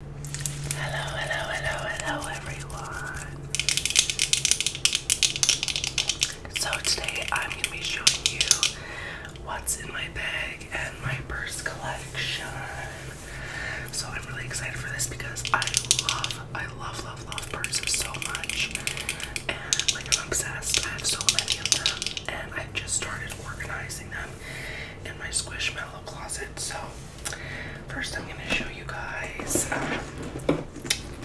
Hello, hello, hello, hello, everyone. So, today I'm going to be showing you what's in my bag and my purse collection. So, I'm really excited for this because I love, I love, love, love purses so much. And, like, I'm obsessed. I have so many of them, and I've just started organizing them in my Squishmallow closet. So, First, I'm going to show you guys um,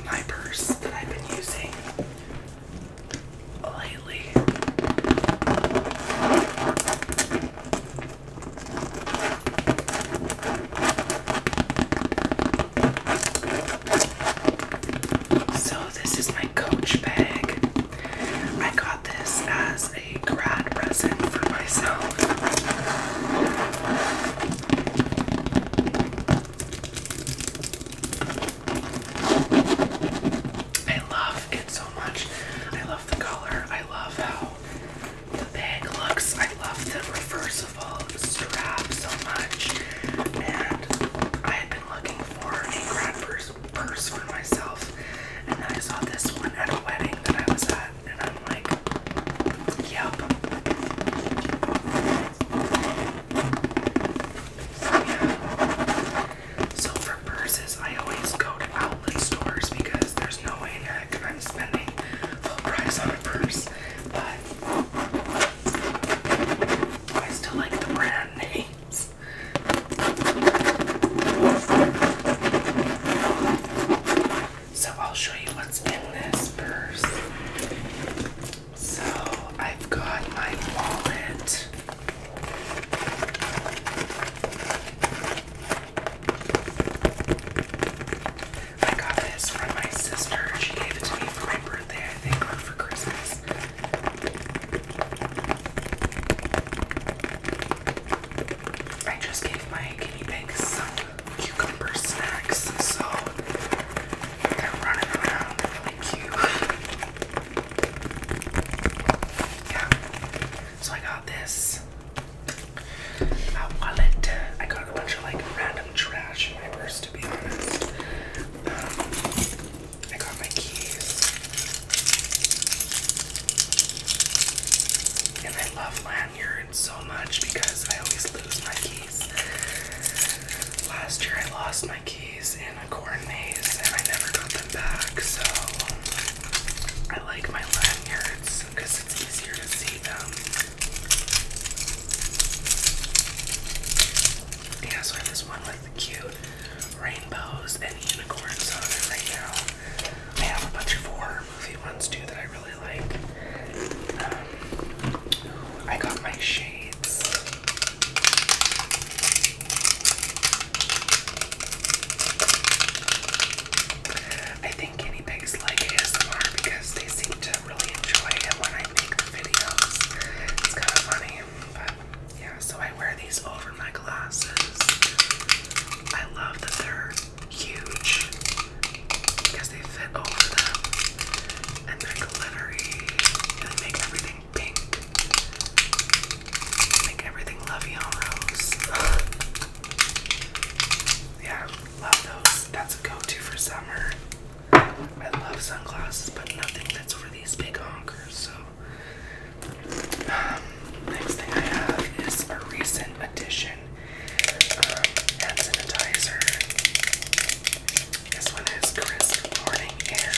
my purse that I've been using lately. So, this is my Coach bag. I got this as a grad present for myself. I love it so much. I love the color. I love how the bag looks. I love the reversible strap so much. And I had been looking for a grad purse, purse for myself stuff. And I saw this one at a wedding that I was at, and I'm like, yep. So, yeah. so for purses, I always go to outlet stores because there's no way in heck I'm spending full price on a purse. But I still like the brand names. So I'll show you what's in this purse. So I've got my wallet. I got this from my sister. She gave it to me for my birthday, I think, or for Christmas. I just gave my guinea pigs some cucumber snacks, so they're running around really cute. Yeah. So I got this. A uh, wallet. I got a bunch of like random trash in my purse to be honest. Um, I got my keys. And I love lanyards so much because I always lose my keys. Last year I lost my keys in a corn maze and I never got them back, so I like my lanyards because it's easier to see them. Yeah, so I have this one with cute rainbows and unicorns on it right now. I have a bunch of horror movie ones too that I really like. Um, I got my shades. I think guinea pigs like ASMR because they seem to really enjoy it when I make the videos. It's kind of funny, but yeah, so I wear these over my glasses. I love that they're huge because they fit over them and they're glittery and they make everything pink. and Make everything lovey on rose. yeah, love those. That's a go-to for summer. I love sunglasses, but nothing that's for these big honkers, so next thing I have is a recent addition um, hand sanitizer. This one is crisp morning air.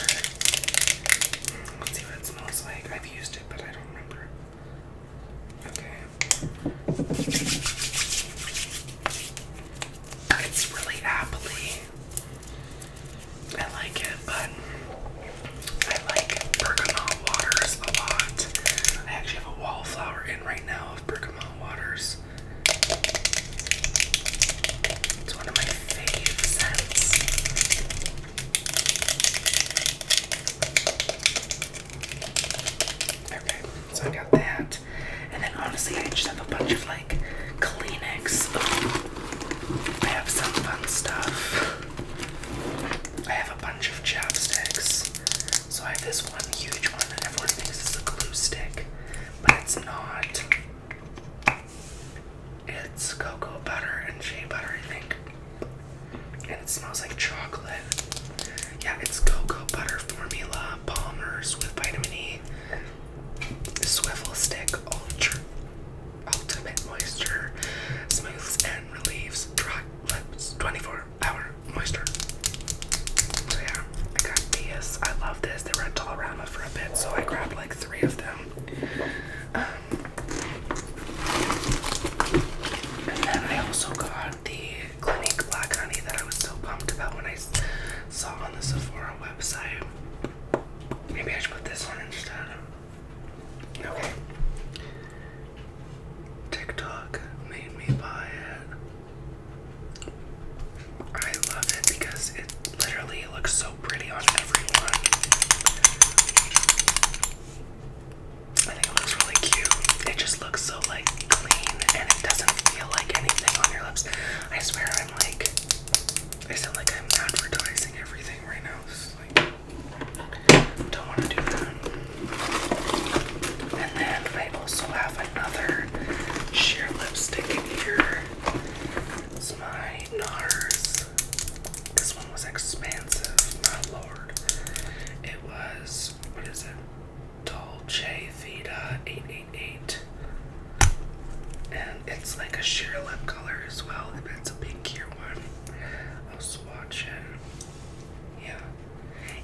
Let's see what it smells like. I've used it, but I don't remember. Okay. It's really appley. I like it, but I like bergamot waters a lot. I actually have a wallflower in right now of bergamot waters. It's one of my fave Okay, so I got that. And then honestly, I just have a bunch of like Kleenex. I have some fun stuff. I have a bunch of chopsticks. So I have this one huge one that everyone thinks is a glue stick, but it's not. It's cocoa butter and shea butter, I think. And it smells like chocolate. Yeah, it's cocoa butter formula, Palmer's with vitamin E, Swivel stick, ultra Ultimate Moisture Smooths and Relieves Dry Lips 24 Hour Moisture. So yeah, I got these. I love this. They were at Dollarama for a bit, so I grabbed like three of them. Um, and then I also got the Clinique Black Honey that I was so pumped about when I saw on the Sephora website. Maybe I should put this one instead. Okay. TikTok made me buy it. I love it because it literally looks so pretty on everyone. I think it looks really cute. It just looks so like clean and it doesn't feel like anything on your lips. I swear I'm like I sound like I'm advertising everything right now don't want to do that. And then I also have another sheer lipstick in here. It's my NARS. This one was expansive, my Lord. It was, what is it? Dolce Vita 888. And it's like a sheer lip color as well a big one. I was watching. Yeah.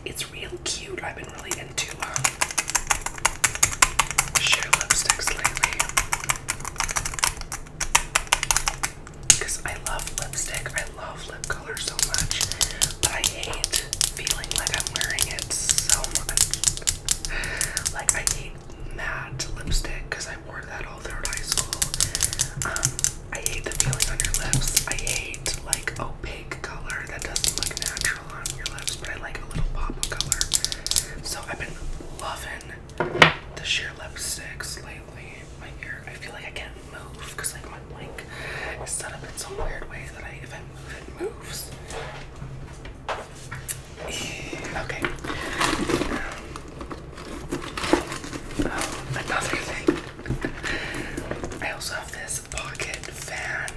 It's real cute. I've been really into um, sheer lipsticks lately. Because I love lipstick. I love lip color so much. But I hate feeling like I'm wearing it so much. Like I hate matte lipstick because I wore that all throughout high school. Um, I hate the feeling on your lips. I hate like opaque color that doesn't look natural on your lips, but I like a little pop of color. So I've been loving the sheer lipstick lately. My ear, I feel like I can't move because like my blink is set up in some weird way that I, if I move, it moves. Eh, okay. Um, another thing. I also have this pocket fan,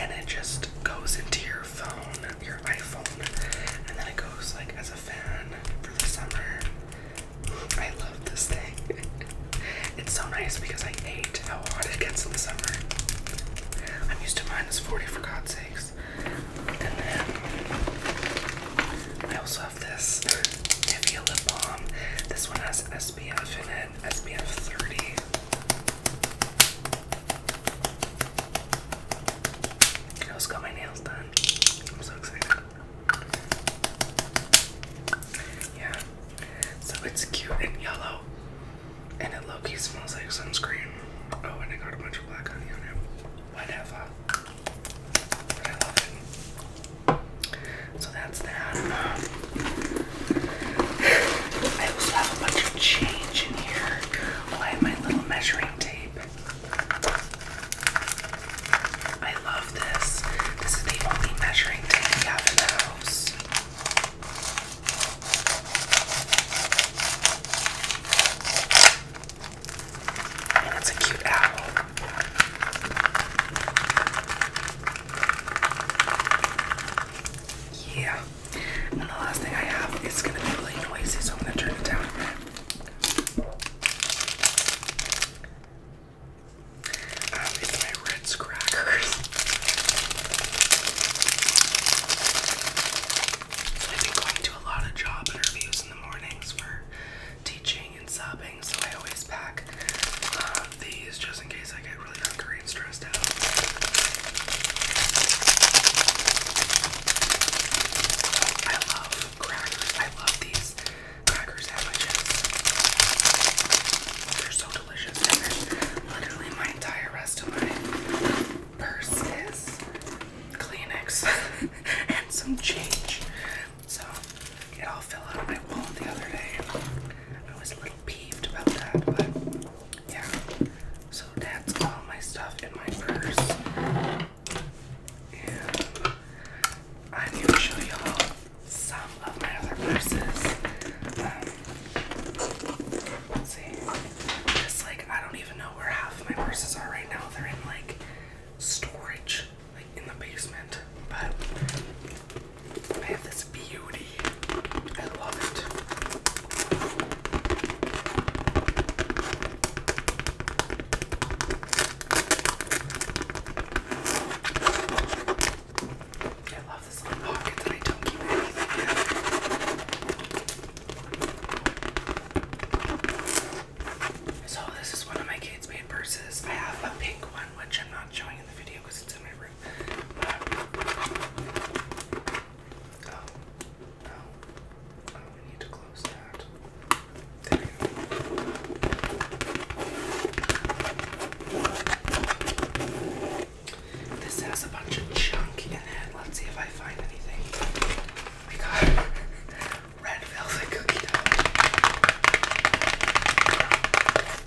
and it just goes into your phone, your iPhone, and then it goes like as a fan for the summer. I love this thing. It's so nice because I hate how hot it gets in the summer. I'm used to minus 40 for God's sakes. I also have this Nivea lip balm. This one has SPF in it, SPF 30. I also got my nails done. I'm so excited. Yeah. So it's cute and yellow. And it low smells like sunscreen. Oh, and I got a bunch of black honey on it. Whatever. But I love it. So that's that. I also have a bunch of change in here. Oh, I have my little measuring tape. I love this. This is the only measuring tape I have in the house. And a cute owl. Yeah. And the last thing I have is gonna be really noisy, I'm gonna turn it down a bit. Um, my Ritz crackers. So I've been going to a lot of job interviews in the mornings for teaching and subbing, so I always pack uh, these just in case I get really hungry and stressed out. I love crackers. I love these cracker sandwiches. They're so delicious. And literally my entire rest of my purse is Kleenex and some change. So it all fell out of my wallet the other day. I was a little peeved about that, but yeah. So that's all my stuff in my purse. And I'm gonna show y'all some of my other purses. Um, see. Because, like, I don't even know where half of my purses are right now. They're in, like, storage, like, in the basement. But I have this beauty. I love it. I love this little pocket that I don't keep anything in. So this is one of my kids' made purses. I have a pink one, which I'm not showing in the video because it's in my room. But... Oh, Oh, oh we need to close that. This has a bunch of junk in it. Let's see if I find anything. We got red velvet cookie dough.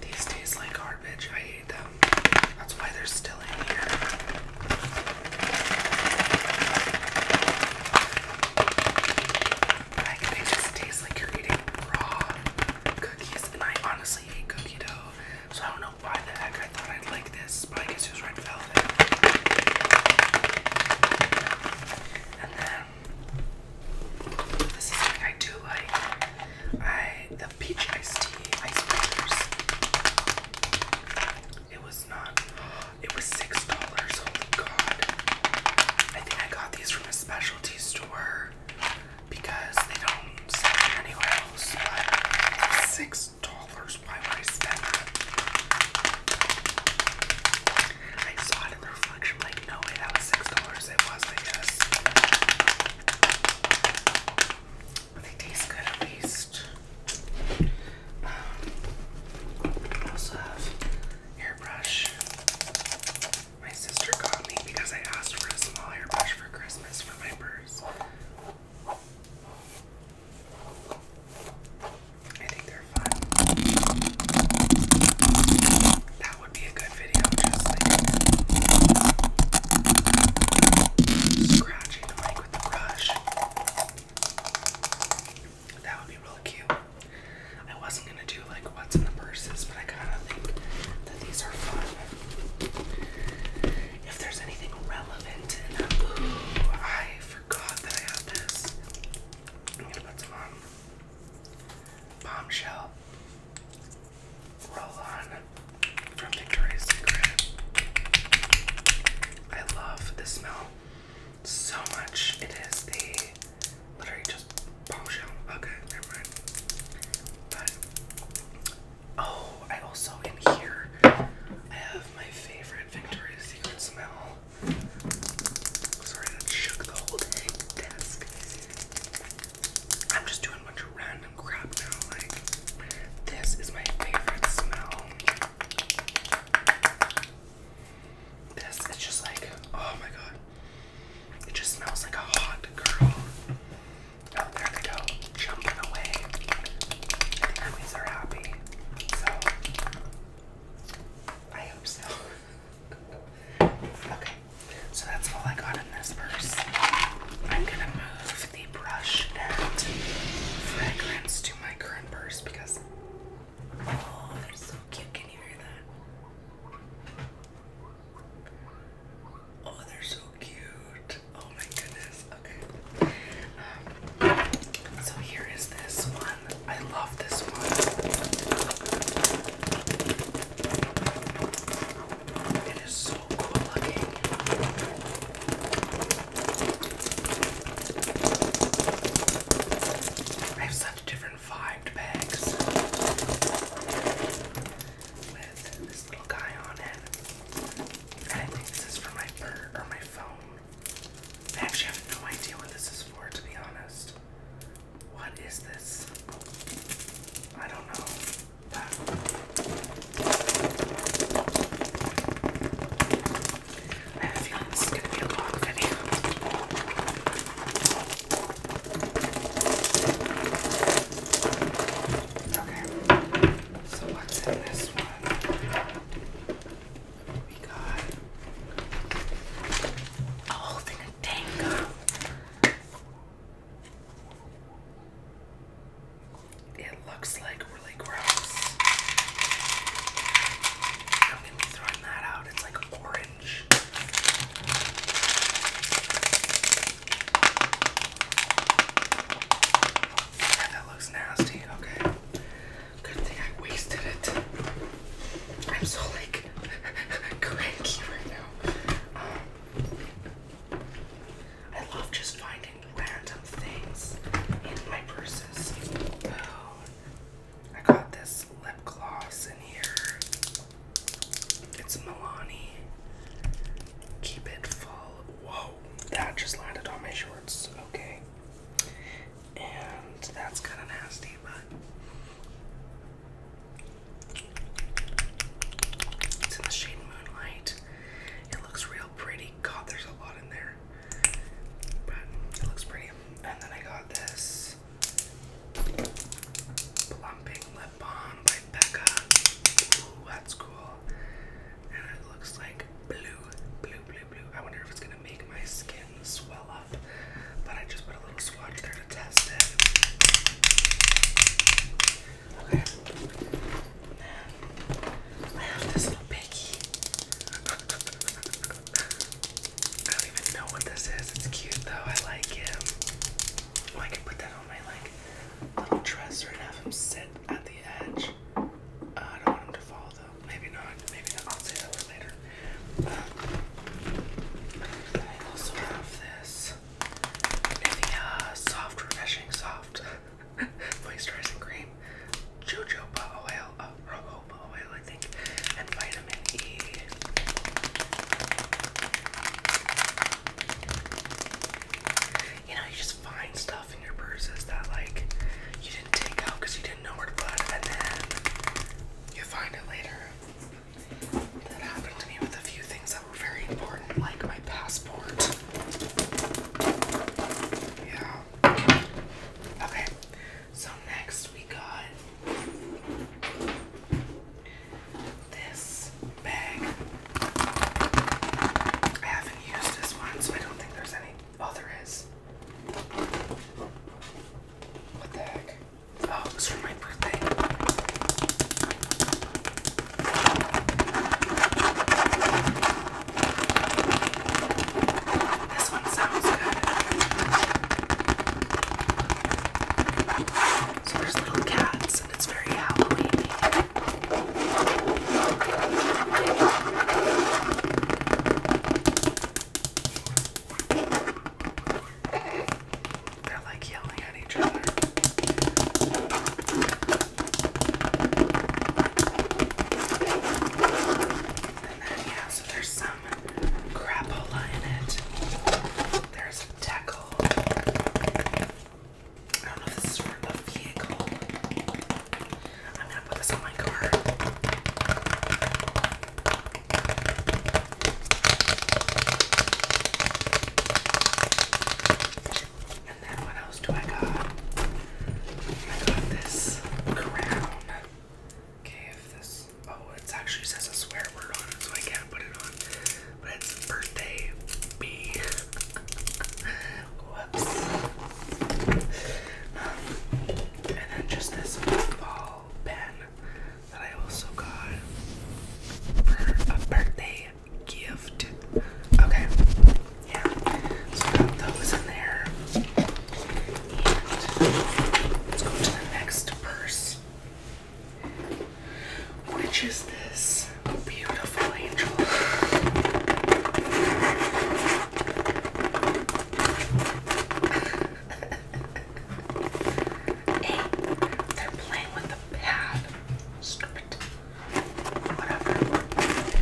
These taste like garbage. I hate them. That's why they're still in here. Like, they just taste like you're eating raw cookies, and I honestly hate cookie dough. So I don't know why the heck I thought I'd like this, but I guess it was red velvet. And then this is something I do like. I the peach iced tea ice It was not. It was six dollars. Holy God! I think I got these from a specialty store because they don't sell them anywhere else. But six dollars. Why would I spend that? I saw it in the reflection, like, no way, that was six dollars. It was, I guess. they taste good at least. Um, also have hairbrush. My sister got me because I asked for a small hairbrush for Christmas for my purse. I think they're fun. That would be a good video, just like scratching the mic with the brush. That would be really cute. I wasn't gonna do like what's in the purses, but I kinda think that these are fun if there's anything relevant in that. Ooh, I forgot that I have this. I'm gonna put some on. Bombshell roll-on from Victoria's Secret. I love the smell so much. It is the literally just bombshell. Okay, never mind. Oh, I also in here I have my favorite Victoria's Secret smell. Sorry, that shook the whole dang desk. I'm just doing a bunch of random crap now. Like, this is my favorite smell. This it's just like, oh my god. It just smells like a hot girl. Oh, there they go, jumping away. I think are happy. So, I hope so. okay, so that's all I got in this purse. I'm gonna move the brush and fragrance to my current purse because, oh, they're so cute. Can you hear that? Oh, they're so cute. Oh my goodness. Okay. Um, so here is this one. I love this one. It is so cool looking. I have such different vibed bags with this little guy on it. And I think this is for my bird or my phone. I actually have no idea what this is for, to be honest. What is this? I don't know. I have a feeling this is gonna be a long video. Okay, so what's in this one? We got a whole thing of tango. It looks like really gross. Don't get me throwing that out, it's like orange that looks nasty. Okay. Good thing I wasted it. I'm so like cranky right now. Um, I love just finding random things in my purses. Oh, I got this lip gloss in here. It's Milani. Keep it full. Whoa, that just landed on my shorts. Okay. And that's kind of nasty, but it's in the shade Moonlight. It looks real pretty. God, there's a lot in there, but it looks pretty. And then I got this plumping lip Lip Balm by Becca. Ooh, that's cool. And it looks like blue, blue, blue, blue. I wonder if it's gonna make my skin swell up. But I just put a little swatch there to test it. Okay. And then I have this little piggy. I don't even know what this is. It's cute though. I like him. I can put that on my like little dresser and have him sit at the edge. Uh, I don't want him to fall though. Maybe not. Maybe not. say that later. Um, I also have this Nivea Soft Refreshing Soft Moisturizing Cream, Jojoba Oil, uh, Oil, I think, and Vitamin E. You know, you just find stuff in your purses that like you didn't take out because you didn't know where to put, it, and then you find it later. That happened to me with a few things that were very important, like my passport. Yeah. Okay. So next we got this bag. I haven't used this one, so I don't think there's any. Oh, there is. What the heck? Oh, it was for my birthday. This one sounds good. So there's little cats, and it's very Halloween. They're like yelling at each other. And then, yeah, so there's some crapola in it. There's a tackle. I don't know if this is for the vehicle. I'm gonna put this on my car. And then what else do I got? I got this crown. Okay, if this Oh, it actually says a swear word on it, so I can't put it on. But it's birthday B. Whoops. Um, and then just this ball pen that I also got for a birthday gift. Okay. Yeah. So I got those in there. And let's go to the next purse which is this beautiful angel. hey, they're playing with the pad. Stop it. Whatever.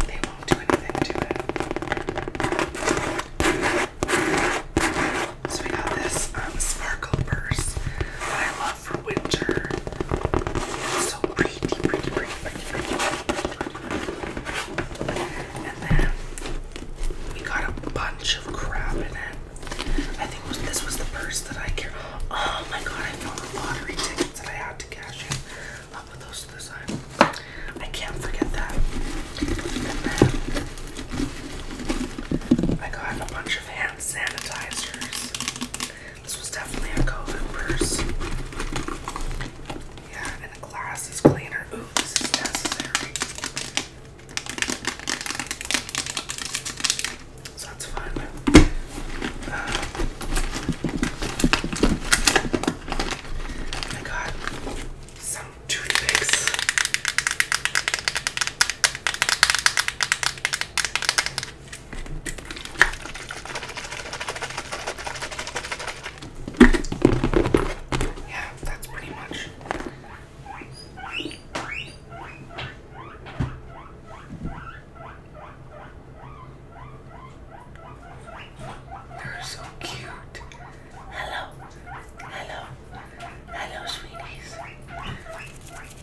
They won't do anything to it. So we got this um, sparkle purse that I love for winter. so pretty, pretty, pretty, pretty, pretty, And then we got a bunch of crap in it. I think this was the purse that I carried. Oh my god, I found the lottery tickets that I had to cash in. i those to the side. I can't forget that. And then I got a bunch hand sanitizers. This was definitely a COVID purse. Yeah, and a glasses cleaner. Ooh, this is necessary. So that's fun. Uh, I got some Yeah, that's pretty much. They're so cute. Hello, hello, Hello, sweeties.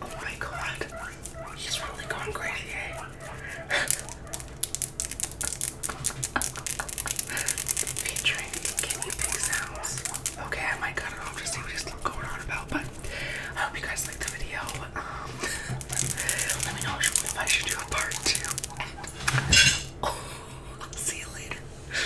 Oh my god. He's really going crazy, eh? Featuring Can Sounds. Okay, I might cut it off to see what he's going on about, but I hope you guys liked the video. Um, let me know if I should do a part two. see you later.